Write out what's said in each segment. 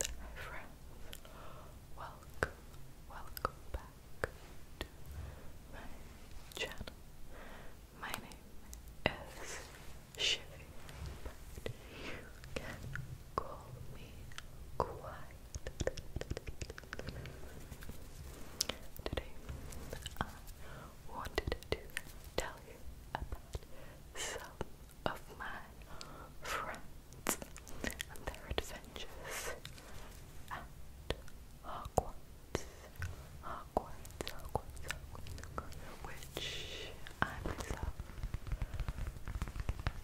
Hi friends, welcome, welcome back to my channel. My name is Shivy, but you can call me Quiet. Today, I wanted to tell you about some of my friends and their adventures at Hogwarts. Hogwarts, Hogwarts, Hogwarts, Hogwarts which I myself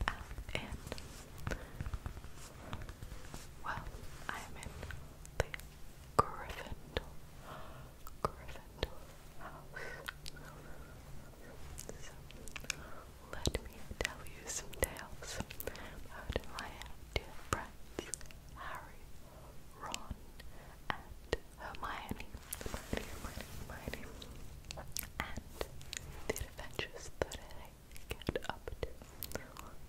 am in. Well, I'm in the Gryffindor, Gryffindor house. So, let me tell you some tales about my dear friends Harry, Ron, and Hermione. Hermione, Hermione, Hermione. And the adventures get up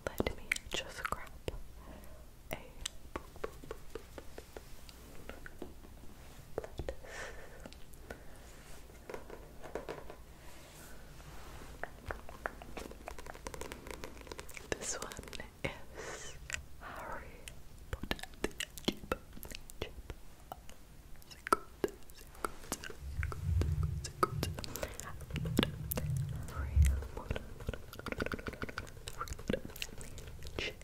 Let me just grab a. This one is Harry Potter Harry Potter and the Chip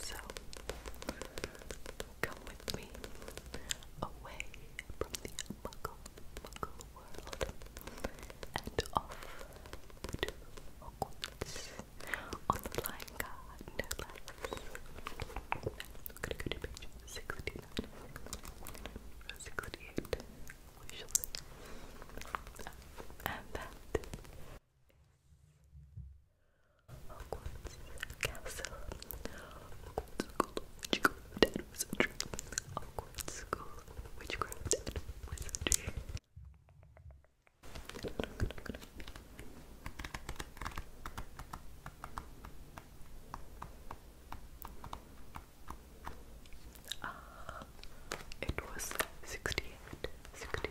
So, come with me away from the muggle, world and off to Hogwarts on the flying car, no less. Look at page 69, 68, we shall see. And that Hogwarts Castle Hogwarts School of Witchcraft and Wizardry Hogwarts School of Witchcraft and Wizardry uh, it was 68, 68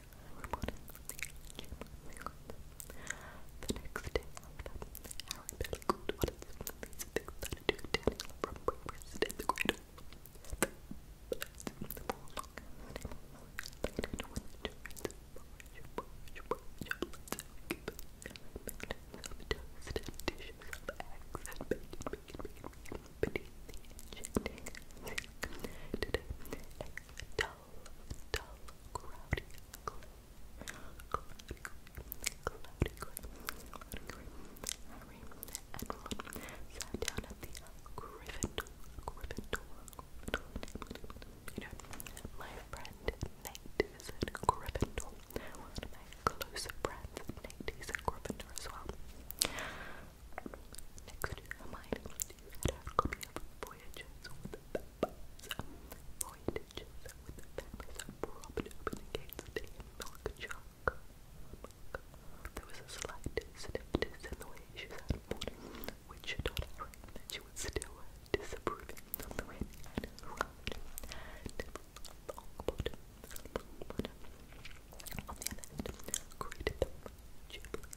The next day, Harry Bellecourt what is these things that I do Daniel from breakfast in the cradle. The best in the full long and with the porridge, porridge, porridge, let's keep it. Make toast and dishes of eggs and bacon, bacon, bacon, bacon, beneath the enchanting sink. Today, eggs and dull, down at the Gryffindor, Gryffindor, you know, my friend Nate is Gryffindor, one of my close friends, Nate is Gryffindor as well. Next to Hermione that are coming up voyages with the families, voyages with the families are propped open the gates to a milk jug. There was a slight stiffness in the way she said morning, which told Irene that she was still disapproving of the way on the other hand, greeted them cheerfully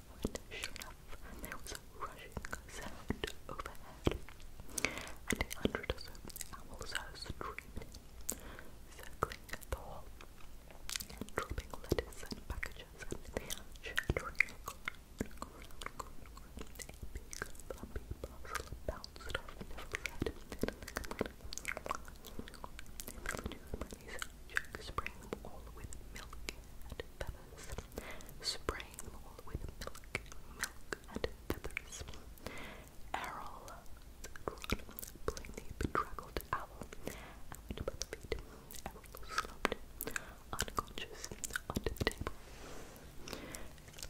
when, sure enough, there was a rushing sound overhead, and a hundred or so owls are streaming circling the hall, dropping letters and packages, and they are chattering around, around, bounced off Neville's head, Neville knew money's jug sprang all with milk and feathers, spraying them all with milk, milk and feathers. Errol, the playing bedraggled owl, and went feet. Errol slumped, unconscious, under the table.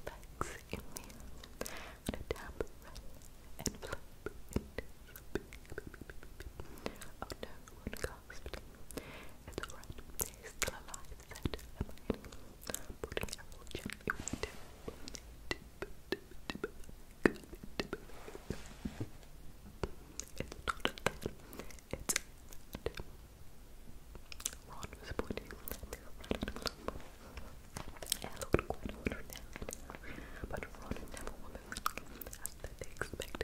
legs in the and a damp red envelope in his big, big, Oh no, one guy it's alright, he's still alive, It's not a cat, it's Ron was pointing at the rat. It looked quite ordinary, but Ron and Neville were moving to explode.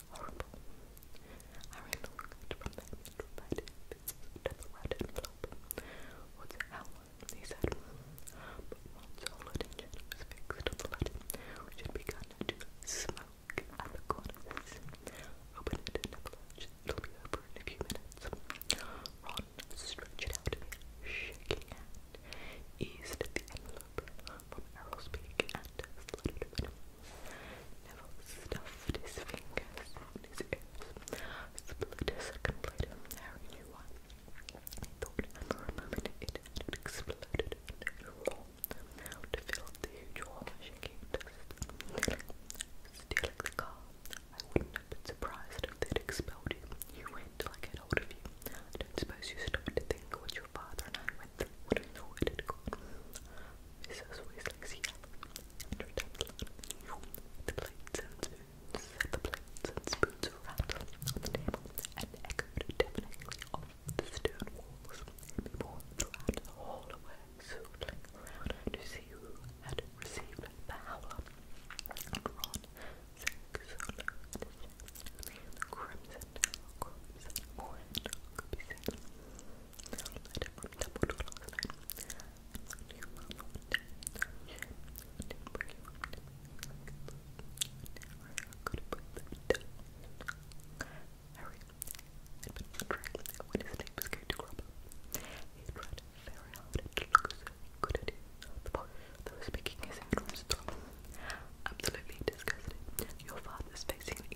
horrible. Harry looked from them to find bits of the What's hell? he said. Mm, but once all attention was fixed on the to smoke at the corners, open it in a few minutes. Ron stretched out shaking hand, eased the envelope from Errol's and slid it open. Neville stuffed his fingers in his ears. Split a second later, Harry knew why. He thought, for a moment, it had exploded and rolled out to fill the huge hall, shaking dust. Stealing the car, I wouldn't have been surprised if they'd expelled you. went till get hold of you. I suppose you stopped to what your father and I went through. Would have thought had gone. Mrs. Weasley's yell Three times The plates and spoons, the plates and spoons rattled on off the stone walls. People ran the hall away, around to see who had received the howler. And Ron sank crimson, crimson orange could Harry had been wondering when his name was going to crop up. He very hard to look at it. The boy that was picking his head from Absolutely disgusted. Your father's facing an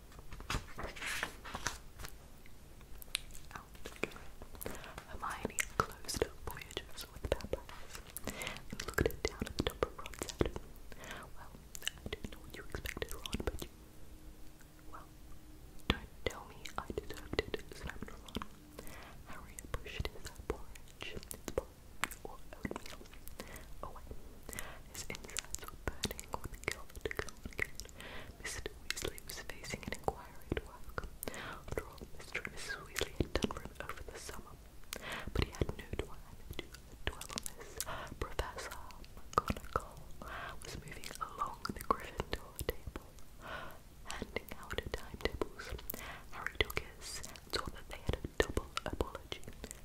Out again. Hermione closed her with Pepper and looked it down at the top of Well, I didn't know what you expected, Ron, but you... Well, don't tell me I didn't. snapped Ron. Harry pushed his porridge, Mr. Weasley was facing an inquiry at work. After all, Mr. and Mrs. Weasley had done over the summer. But he had no time to dwell on Professor McGonagall was moving along the Gryffindor table, handing out timetables. Harry took his and saw that they had a double apology.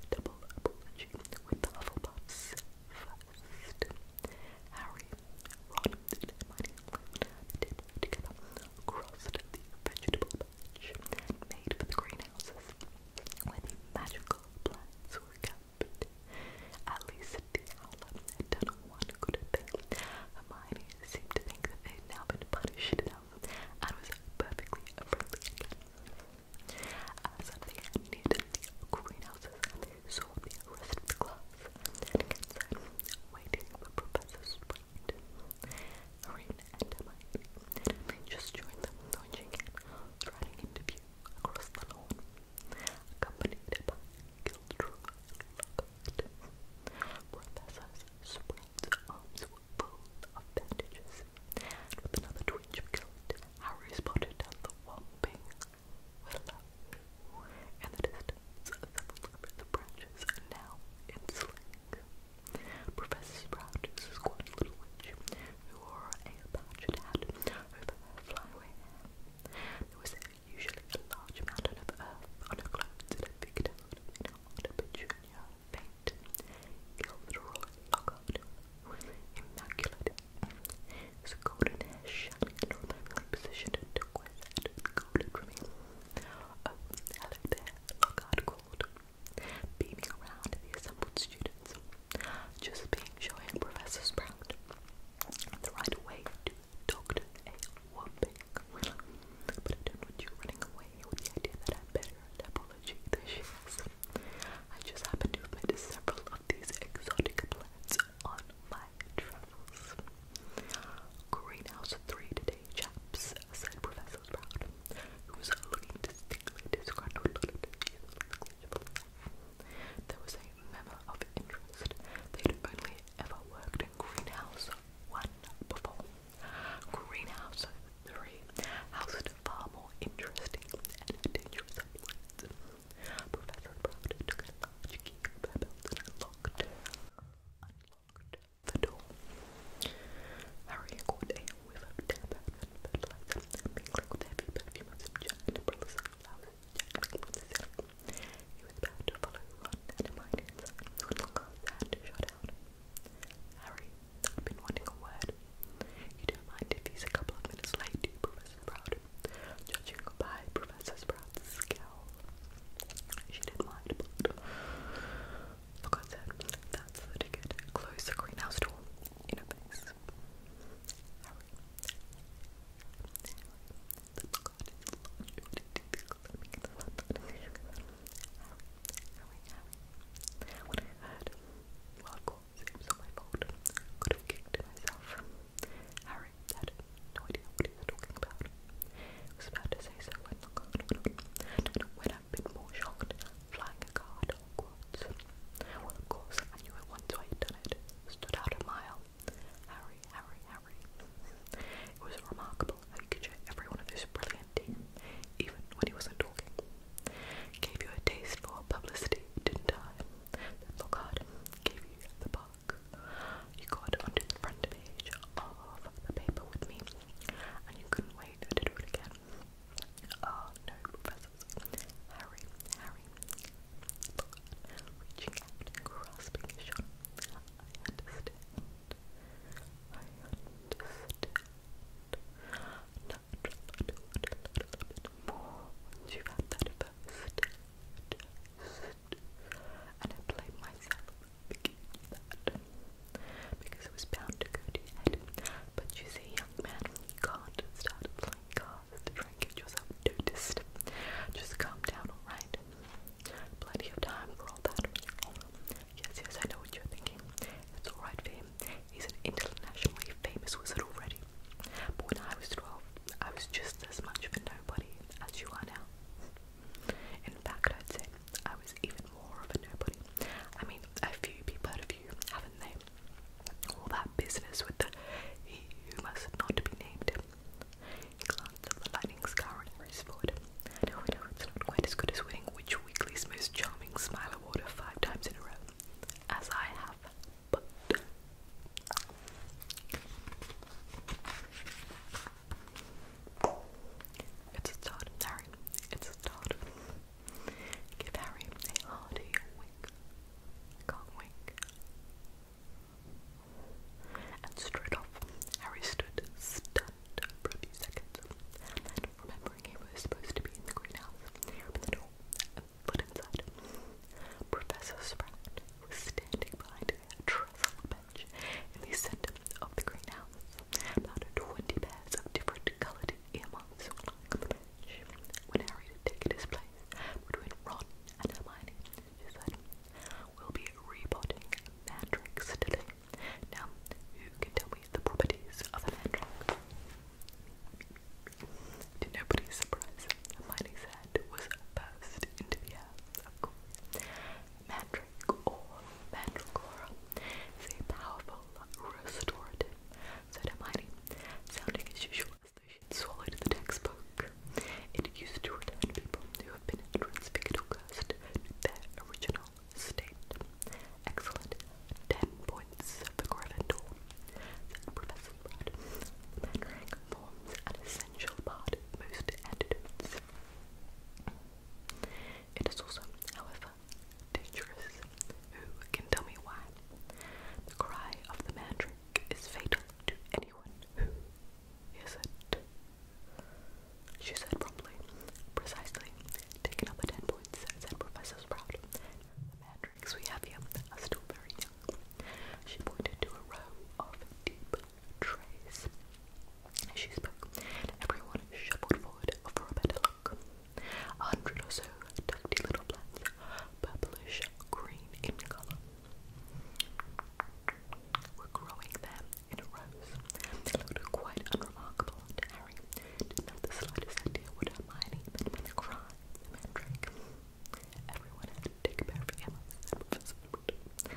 Double apology with the Hufflepuffs first. Harry, Ron, and Hermione climbed down the table together, vegetable patch made for the greenhouses, where magical plants were kept. At least the owl had done one good thing. Hermione seemed to think that they had now been punished enough, and was perfectly appropriate. again. they neared the greenhouses, so I'll be the class and get waiting for Professor Sprite. Irene and Hermione. just join them when she striding into view across the lawn, accompanied by Gilderoy Lockhart. Professor Sprite's arms full of bandages, with another twitch of guilt, Harry spotted the whopping willow, and the distance of the branches now in Professor Sprout is a squat little witch who wore a patched hat over her flyaway hair. There was usually a large mountain of earth on her clothes and a big toad in a petunia faint. Gilderoy Lockhart was immaculate Scolded hair shining in romantically positioned and turquoise head scolded from me. Oh, hello there, Lockhart called, beaming around the assembled students. Just being showing Professor Sprout the right way to Doctor A. Whopping. But I don't want you running away with the idea that I'm better at apology than she is. I just happen to have met several of these exotic plants on my travels. Greenhouse 3 today, chaps, said Professor Sprout, who was looking distinctly disgruntled There was a memo of interest. They'd only ever worked in Greenhouse 1 before. Greenhouse 3 housed far more interesting and dangerous plants. Professor Proudly took a large key from their belt and unlocked, unlocked the door. Harry caught a whiff of damp and fertilizer, mingled with the heavy perfume of some giant umbrellas and flowers jangling from the ceiling. He was about to follow Ron and Hermione inside when Lockhart hand shot out. Harry had been wanting a word you don't mind if he's a couple of minutes late, do you, Professor Sprout? Judging by Professor Sprout's scowl, she didn't mind, but look, said, that's the ticket. Close the greenhouse door in her Seems my fault. Could have kicked myself. Harry had no idea what he was talking about. I was about to say so when when I've been more shocked flying a car at Hogwarts. Well, of course, I knew it once I had done it. Stood out a mile. Harry, Harry, Harry. It was remarkable how he could show everyone of his brilliant team, even when he wasn't talking. Gave you a taste for publicity, didn't I? that Bogart gave you the book. You got onto the front page of the paper with me, and you couldn't wait to do it again. Oh no, professors. Harry, Harry, reaching out and grasping I understand. I understand natural, do it a more you had that first And I blame myself because that, because it was bound to go to your head. But you see, young man, you can't start playing cards to try and get yourself noticed. Just calm down, alright? Plenty of time for all that. Yes, yes, I know what you're thinking. It's alright for He's an internationally famous wizard already. But when I was 12, I was just as much of a nobody as you are now. In fact, I'd say I was even more of a nobody. I mean, a few people heard of you, haven't they? All that business with the you must not be named. He glanced at the lightning scar on his forehead. No, no, it's not quite as good as winning Witch Weekly's most charming smile award five times in a row, as I have it's a start, Harry. It's a start. Give Harry a hearty wink. can't wink. And straight off, Harry stood stunned for a few seconds. remembering he was supposed to be in the greenhouse, he the door foot inside. Professor Sprout was standing behind a trestle bench in the center of the greenhouse. About twenty pairs of different colored earmuffs on the bench. When Harry had his place between Ron said, We'll be repotting Mandrax today. Now, who can tell me the properties of a Mandrax? To nobody's surprise, Hermione's head was burst into the air, of course. Mandrake or is a powerful restorative, said Hermione, sounding as usual as she swallowed the textbook. It used to return people who have been transfigured or cursed to their original state. Excellent. 10.5 points of the Professor Rudd, Mandrake forms an essential part most antidotes. It is also, however, dangerous. Who can tell me why? The cry of the Mandrake is fatal to anyone who hears it. She said promptly, precisely. Taking up at ten points, said Professor Sprout. Because we have here are still very young. She pointed to a row of deep trays. As she spoke, everyone shuffled forward for a better look. A hundred or so tufty little plants, purplish green in colour, were growing there in a rows. They quite unremarkable to Harry. Didn't the slightest idea what Hermione meant by the cry, Everyone had take a pair of pajamas and put them on my shoe is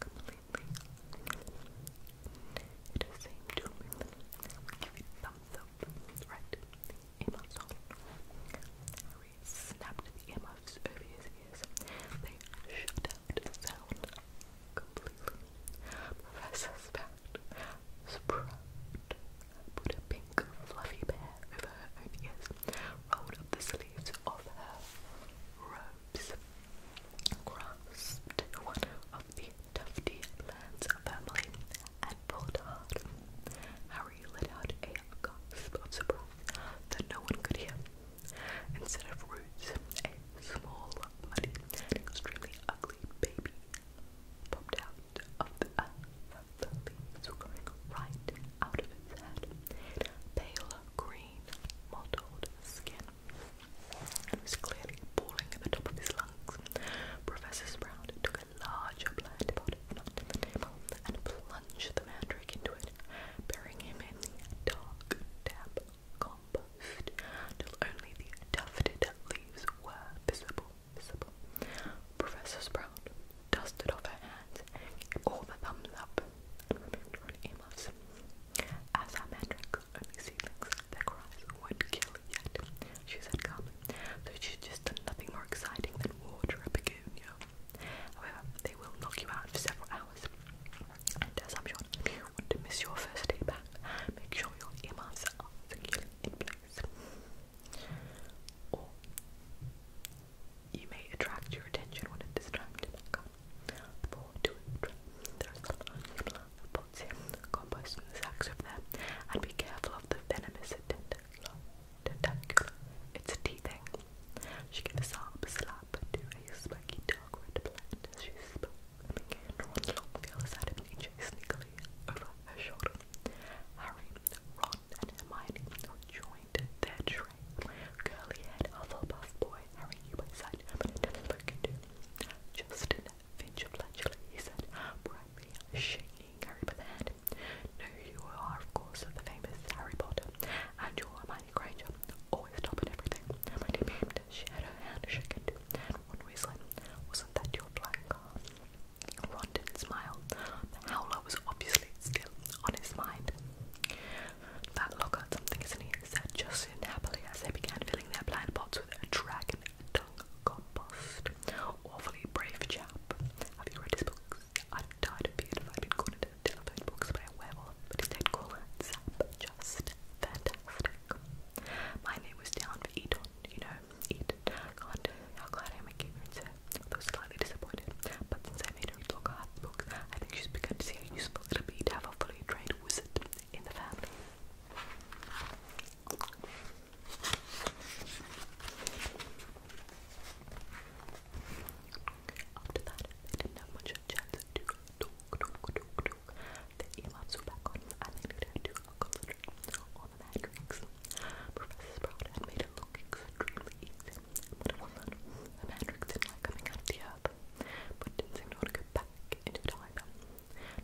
completely It is same to movement. We give it thumbs Right. Earmuffs on. snapped the earmuffs over his ears. They shut out sound completely. Professor Span Sprout put a pink fluffy bear over her ears, rolled up the sleeves of her robes, grasped one of the tufty plants firmly, and pulled hard. Harry let out a gasp of surprise that no one could hear. Instead of roots, a small, muddy, extremely ugly baby popped out of the of the leaves were growing right out of its head. It had pale green, mottled skin. It was clearly boiling at the top of his lungs. Professor Sprout took a large plant pot from the table and plunged the mandrake into it, burying him in the dark, damp compost till only the tufted leaves were visible visible. Professor Sprout dusted off her hands, gave all the thumbs up, and remained on aimless. As our only see things, that cries would kill yet, she said "Come." though she's just done nothing more exciting than water a begonia. However, they will knock you out for several hours. as I'm sure you want to miss your first day back, make sure your are securely or you may attract your attention when a distracted for to There's a lot of potassium compost sacks of them, and be careful of the venomous tentacular. It's teething. She gave a sharp slap to a spiky dog red plant as she spoke and began to run along the other side of nature sneakily over her shoulder. Harry, Ron, and Hermione joined their train. Curly-haired Hufflepuff boy Harry knew by sight, but Justin Finch of he said, brightly shaking Harry by the hand. No, you are, of course, the famous Harry Potter, and you're Hermione Granger, always top at everything. she had her hand shaken, one whistling, wasn't that your flying car? Rondon smiled. The howler was obviously still on his mind. That look at something, isn't he? said Justin happily as they began filling their blind pots with a dragon dung compost. Awfully brave chap. Have you read his books? I'd have died of fear if I'd been cornered in a telephone box by a werewolf, but he stayed cool and sap just fantastic. My name was down for Edon, you know, eat chocolate. How glad I am I gave her to Though slightly disappointed. But since I made her read Lockhart books, I think she's begun to see how useful it'll be to have a fully trained wizard in the family. After that, they didn't have much chance to talk, talk, talk, talk. The earmuffs were back on, and they to do a couple children on the Professor Sprout made it look extremely easy, The Matrix didn't like coming out the earth, but didn't seem to to go back into time.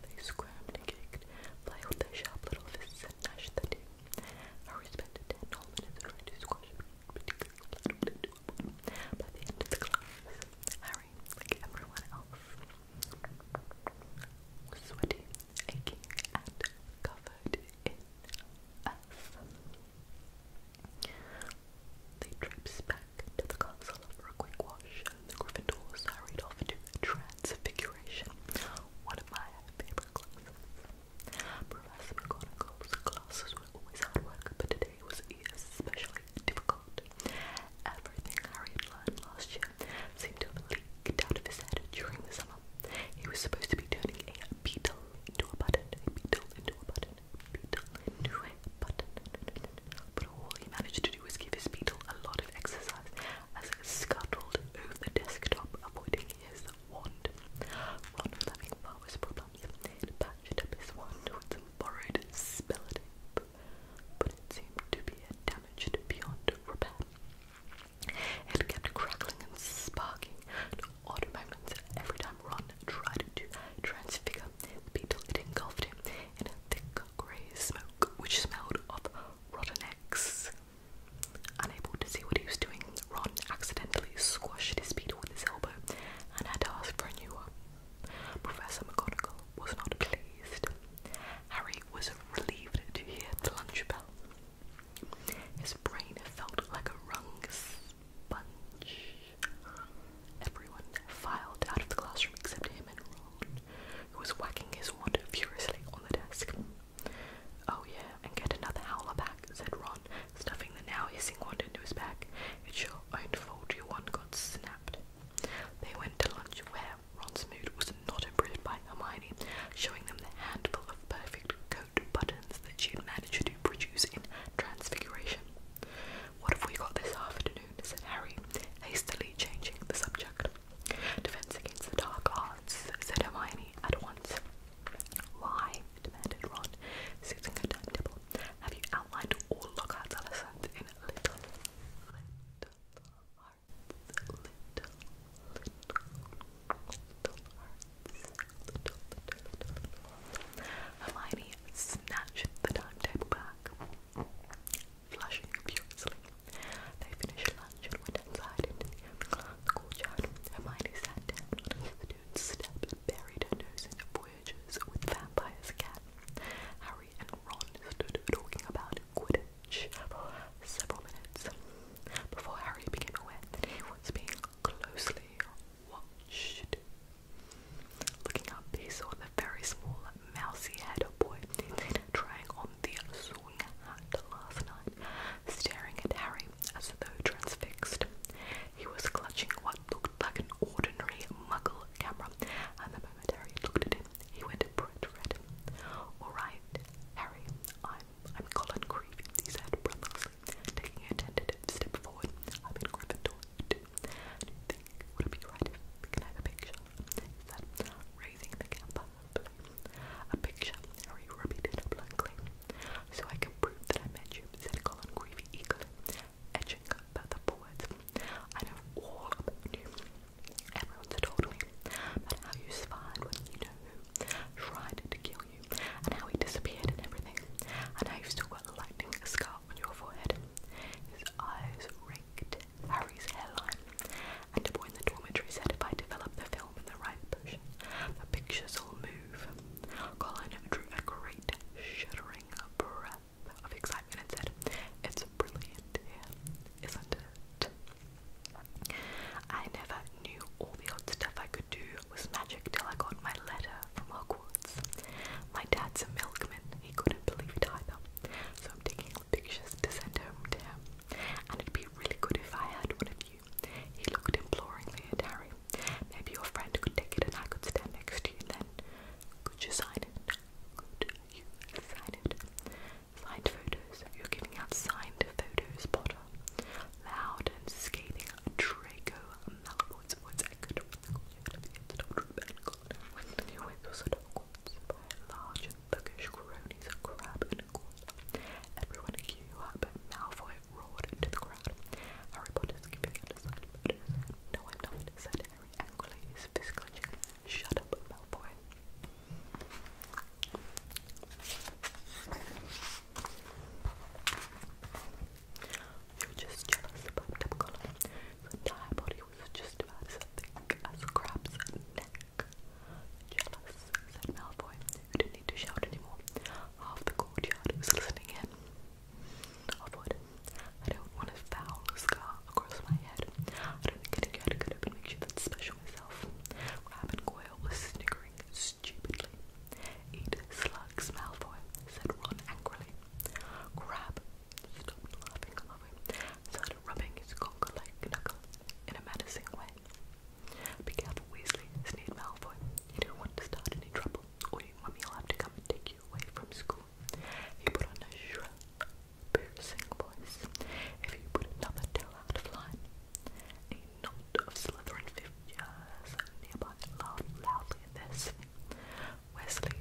They squirmed and kicked, played their sharp little fists and gnashed their teeth. Harry spent ten minutes trying to squash me, particularly by the end of the class, everyone else, sweaty, aching, and covered in earth. They traipse back to the castle for a quick wash, the Gryffindors hurried off to Transfiguration, one of my favourite classes. Professor McGonagall's classes were always hard work, but today was especially difficult. Everything Harry had last year seemed to have out of his head during the summer. He was supposed to be turning a beetle into a button, beetle into a button, beetle into a button. But all he managed to do was give his beetle a lot of exercise as it scuttled over the desktop, avoiding his wand. Ron was having flowers problems and patched up his wand with some borrowed spell tape, but it seemed to be damaged beyond repair. It kept crackling and sparking odd moments every time Ron tried to transfigure beetle it engulfed him in a thick grey smoke which smelled of rotten eggs. Unable to see what he was doing, Ron accidentally squashed his beetle with his elbow and had to ask for a new one. Professor McGonagall was not pleased. Harry was relieved to hear the lunch bell. His brain felt like a wrung sponge. Everyone filed out of the classroom except him and Ron, who was whacking his wand furiously on the desk. Oh yeah, and get another howler back, said Ron, stuffing the now hissing wand into his bag. It's your own fault your wand got snapped. They went to lunch where Ron's mood was not improved by Hermione showing them the handful of perfect coat buttons that she had managed to produce in Transfiguration. What have we got this afternoon? said Harry, hastily changing the subject. Defense against the dark arts, said Hermione at once. Why? demanded Ron, seizing her Have you outlined all Lockhart's lessons in little, little hearts, little, little, little hearts, little, little, little, Hermione snatched the timetable back, flushing furiously. They finished lunch and went outside into the courtyard. Hermione sat down on a student's step buried her nose in Voyages Harry and Ron stood talking about Quidditch for several minutes before Harry became aware that he was being closely watched. Looking up, he saw the very small, mousy head boy he on the swing last night, staring at Harry as though transfixed. He was clutching what looked like an ordinary muggle camera, and the moment Harry looked at him, he went to Red. Alright, Harry, I'm I'm Colin Creevy, he said breathlessly, taking a tentative step forward. I'm in Gryffindor Do you think would be right if we can have a picture? He said, raising the camp A picture, Harry repeated blankly. So I can prove that I met you, said Colin Creevy eagerly, etching further forwards. I know all about you. Everyone's told me about how you spied when you know who tried to kill you, and how he disappeared and everything, and you've still got the lightning scar on your forehead. His eyes raked Harry's hairline, and the the dormitory said if I develop the film in the right position, the pictures will move. Colin drew a great shuddering breath of excitement and said, It's brilliant here, isn't it? I never knew all the odd stuff I could do was magic till I got my letter from Hogwarts. My dad's a milkman, he couldn't believe it either, so I'm taking pictures to send home to him. And it'd be really good if I had one of you. He looked imploringly at Harry. Maybe your friend could take it and I could stand next to you then. Could you sign it? Could you sign it? Signed photos. You're giving out signed photos, Potter. Loud and scathing Draco Malfoy's voice echoed when the windows at Hogwarts by large and thuggish of Crab and Goyle. Everyone queue Malfoy roared into the crowd. Harry Potter's giving out a side No, I'm not, said Harry angrily, his Shut up, Malfoy. You're just jealous about Tipcolor. His entire body was just about as thick as crab's neck. Jealous, said Malfoy, who didn't need to shout anymore. Half the courtyard was listening in. Halfwood, I don't want a foul scar across my head. I don't think any cat could ever make sure that's special show myself. Rabbit Goyle was sniggering stupidly. Eat slugs, Malfoy, said Ron angrily. Crab stopped laughing, Malfoy, and started rubbing his cock-like knuckle in a menacing way. Be careful, Weasley, sneered Malfoy. You don't want to start any trouble, or your mummy will have to come and take you away from school. He put on a shrill, piercing voice. If you put another tail out of line, a knot of Slytherin figures nearby laughed loudly at this. Wesley.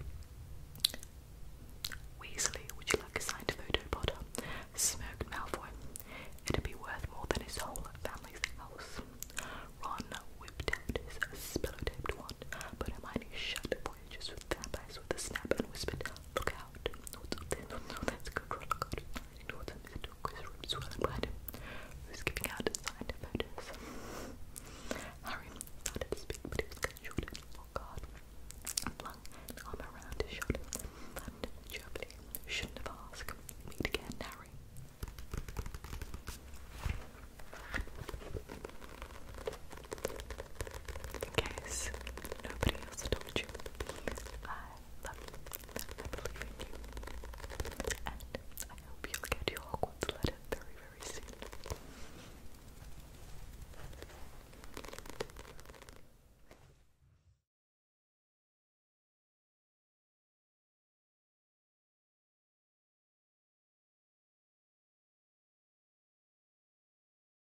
Weasley, would you like a signed photo, Potter? Smirked Malfoy. It'd be worth more than his whole family's house. Ron whipped out his spello-taped wand, but Hermione shut voyages with vampires with a snap and whispered, Look out. What's up there? No, that's good. Look You what's up there? Because room's swirling him. Who's giving out signed photos? Harry started to speak, but he was cut Oh God. Flung an arm around his shoulder. Thundered cheerfully. Shouldn't have asked. Meet again, Harry. In case nobody else told you, I love you. I believe in you. And I hope you get your Hogwarts letter very, very soon.